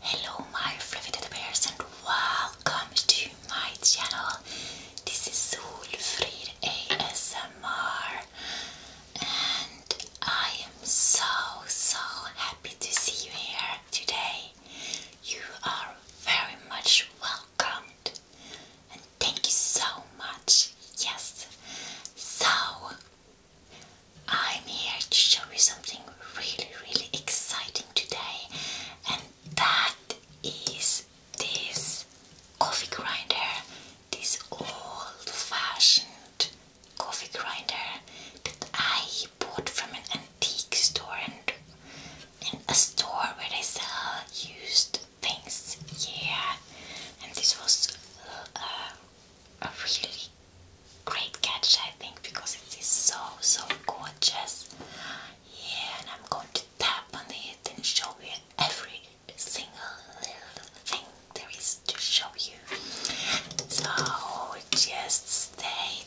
Hello my fluffy teddy bears and welcome to my channel. This is Solfrid ASMR and I am so so happy to see you here today. You are very much welcome and thank you so much. Yes. So I'm here to show you something really really exciting today and that is this coffee grinder, this old fashioned coffee grinder that I bought from an antique store and in a store where they sell used things. Yeah, and this was uh, a really great catch, I think, because it is so so gorgeous. Yeah, and I'm going to tap on it and show you every single little thing there is to show you. So just stay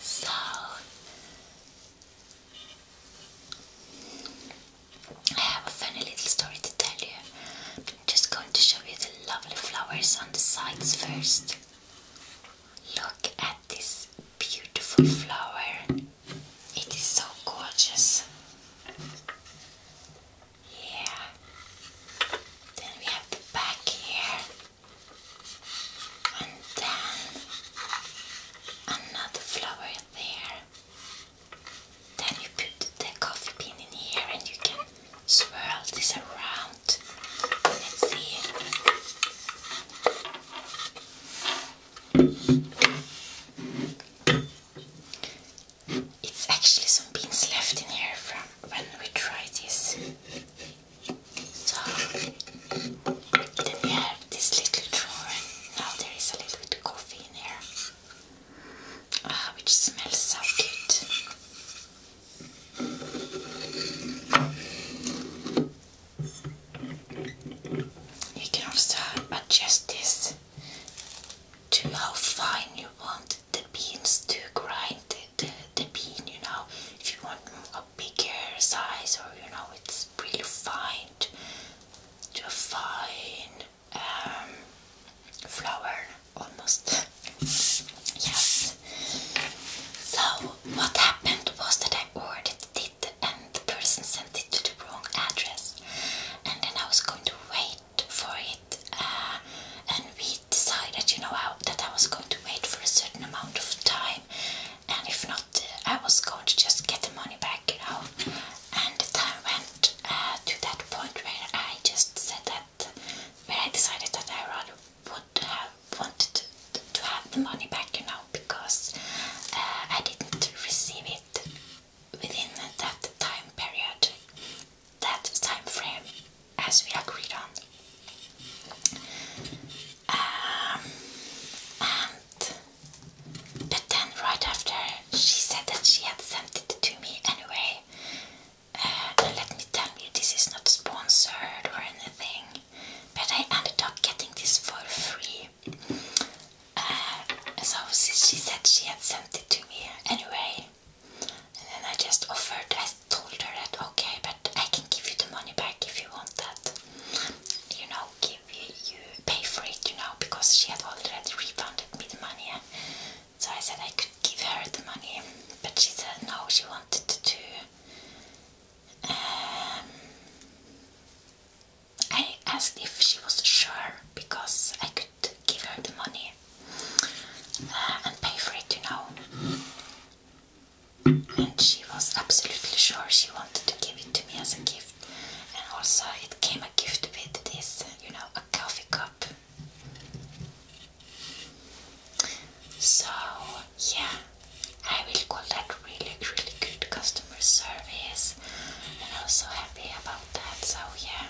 So I have a funny little story to tell you. I'm just going to show you the lovely flowers on the sides first. Look at this beautiful flower. It is so gorgeous. Yeah. Then we have the back here. And then another flower there. Then you put the coffee bean in here and you can swirl this around. It's actually some beans left in here from when we tried this. So then we have this little drawer now there is a little bit of coffee in here. Ah, which smells so good. You can also adjust this to how fine you want the beans to grind the, the, bean, you know, if you want a bigger size or you know it's really fine to, a fine um, flour almost. yes. So what happened was that I ordered it and the person sent it to the wrong address. And then I was going to wait for it. Uh, and we decided, you know, I, that I was going to wait for a certain amount of time. And if not, I was going to just get the money back, you know. And the time went uh, to that point where I just said that, where I decided that I rather would have wanted to, have the money back, you know, because uh, I didn't receive it within that time period, that time frame, as we agreed on. Um, and but then right after she said that she had sent it to me anyway, uh, let me tell you, this is not sponsored or anything, but I ended up getting this for free. Uh, so she said she had sent it to me anyway, and then I just offered. I told her that okay, but I can give you the money back if you want that. You know, give you, you pay for it. You know, because she had already refunded me the money. So I said I could give her the money, but she said no, she wanted to do. Um, I asked if she was sure because I could give her the money uh, and pay for it, you know. And she was absolutely sure she wanted to give it to me as a gift. And also, it came a gift with this, you know, a coffee cup so, yeah, I will call that really, really good customer service, and I was so happy about that. So, yeah,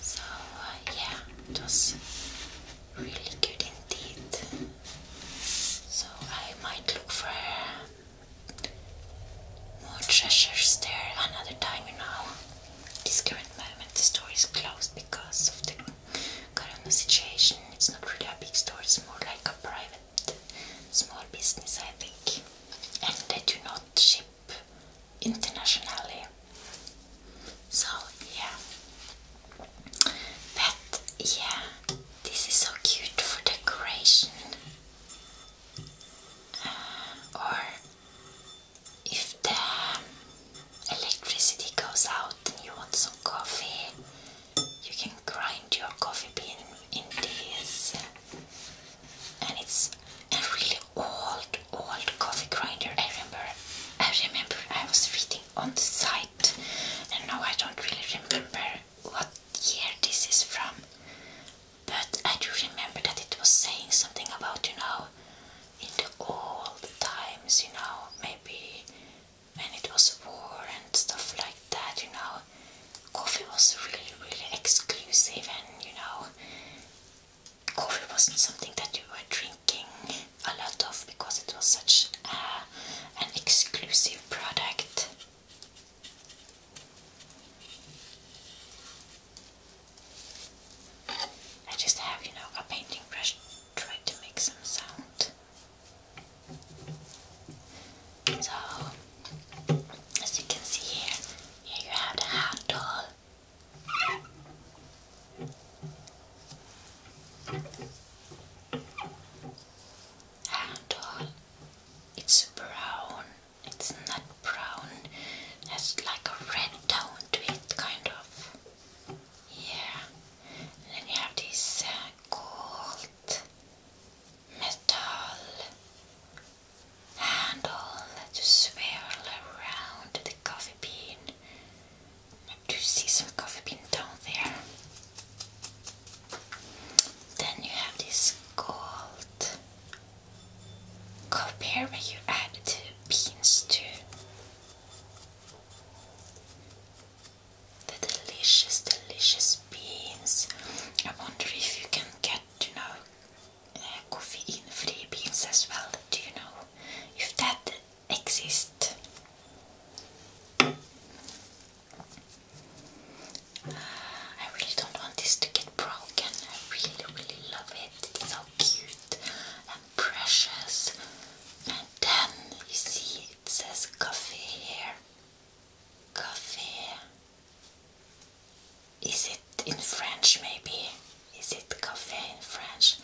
so uh, yeah, it was really good indeed. So, I might look for more treasures there another time, you know this current moment the store is closed because of the current situation. It's not really a big store, it's more like a private small business, I think. And they do not ship internationally. So, yeah. But, yeah, this is so cute for decoration. Uh, or if the electricity goes out and you want some coffee, you can grind your coffee bean in this, and it's a really old, old coffee grinder. I remember, I remember I was reading on the site, and now I don't really remember what year this is from. But I do remember that it was saying something about, you know, in the old times, you know, maybe when it was war and stuff like that, you know, coffee was really, really exclusive and, you know, coffee wasn't something that you were drinking a lot of because it was such an exclusive product. I just have, you know, a painting brush, try to make some sound. So, as you can see here, here you have the handle. Handle. It's brown it's not brown, it has like a red tone to it, kind of. Yeah. And then you have this uh, gold metal handle that you swirl around the coffee bean. Do see some coffee bean down there? Then you have this gold compare what you add to beans to The delicious, delicious beans. I wonder if you can get, you know, uh, caffeine-free beans as well. Do you know if that exists? I really don't want this to get broken. I really, really love it. It's so cute and precious. And then you see it says coffee here. Coffee. Is it in French maybe? Is it coffee in French?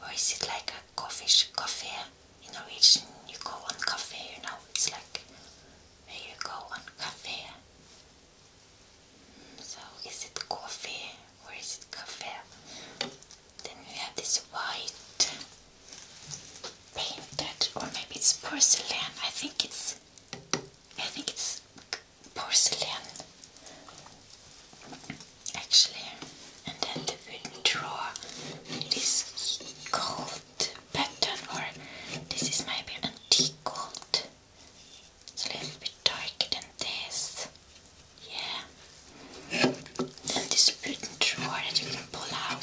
Or is it like a coffee coffee? In Norwegian you go on coffee, you know, it's like here you go on cafe. Mm, so is it coffee or is it cafe? Then we have this white painted or maybe it's porcelain. I think it's I think it's porcelain actually and then they will draw this gold gold or this is maybe antique gold. It's a little bit darker than this. Yeah. Then this wooden drawer that you can pull out.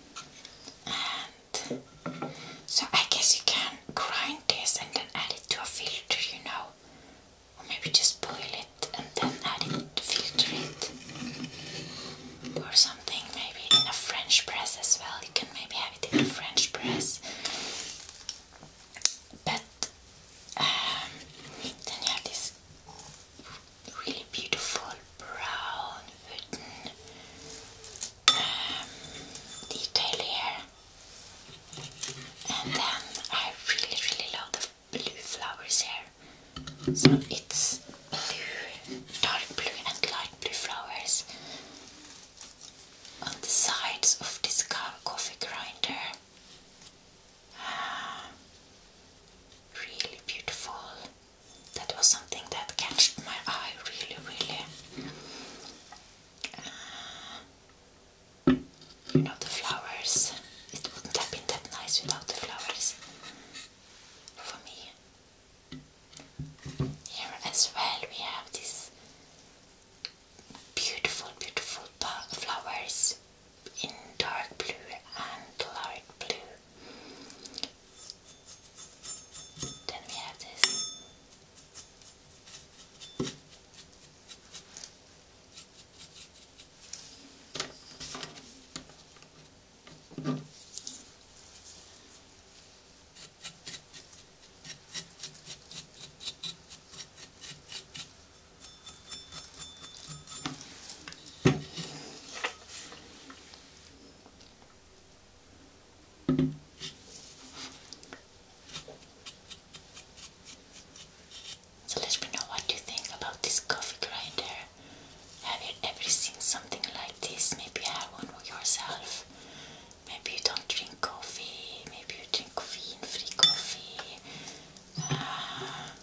so I guess you can grind this and then add it to a filter, you know. Or maybe just boil it and then add it, to filter it. Or something, maybe in a French press as well. You can maybe have it in a French press. But um, then you have this really beautiful brown wooden um, detail here. And then I really, really love the blue flowers here. So it's blue, dark blue, and light blue flowers on the sides of this coffee grinder. Um, really beautiful. That was something that catched my eye really, really. you uh, know, the flowers. It wouldn't have been that nice without the flowers for me. Here as well, we have these beautiful, beautiful flowers in dark blue and light blue. Then we have this. So let me know what you think about this coffee grinder. Have you ever seen something like this? Maybe you have one yourself. Maybe you don't drink coffee. Maybe you drink coffee free coffee. Ah.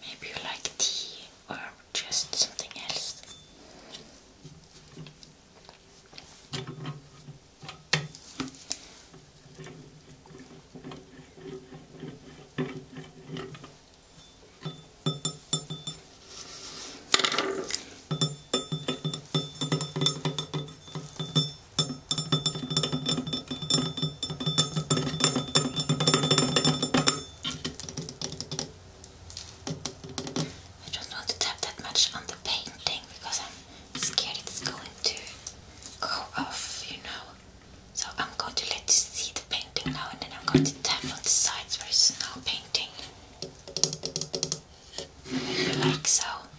Maybe you like tea or just something else. I don't want to tap that much on the painting because I'm scared it's going to go off, you know. So I'm going to let you see the painting now and then I'm going to tap on the sides where it's now painting. like so.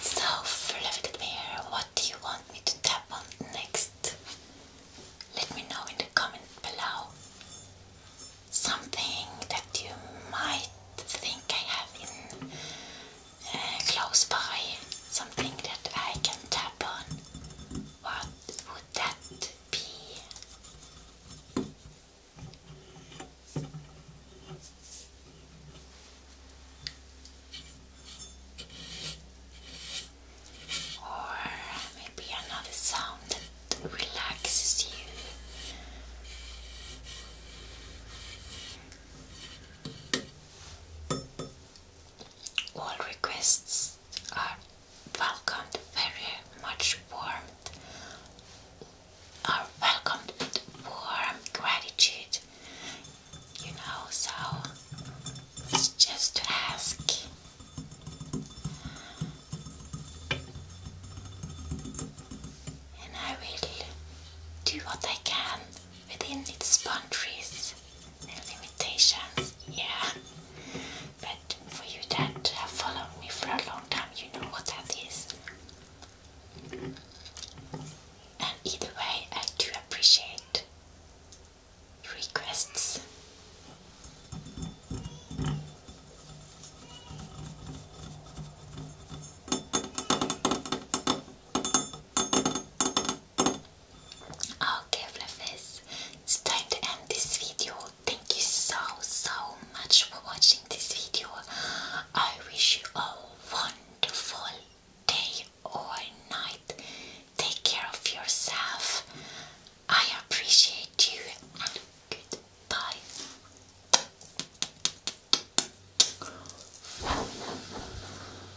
So, Fluffy Bear, what do you want me to tap on next? Let me know in the comment below something that you might think I have in uh, close by, something that I can tap on. What would that be. Or maybe another sound that relaxes you. All requests are welcomed very much warmth uh, are welcomed with warm gratitude you know so it's just to ask and I will do what I can within its boundaries and limitations, yeah. But for you that have followed me for a long time, you know what that is. And either way, I do appreciate requests. Okay, Fluffies, it's time to end this video. Thank you so, so much for watching this video. I wish you a wonderful day or night. Take care of yourself. I appreciate you and goodbye.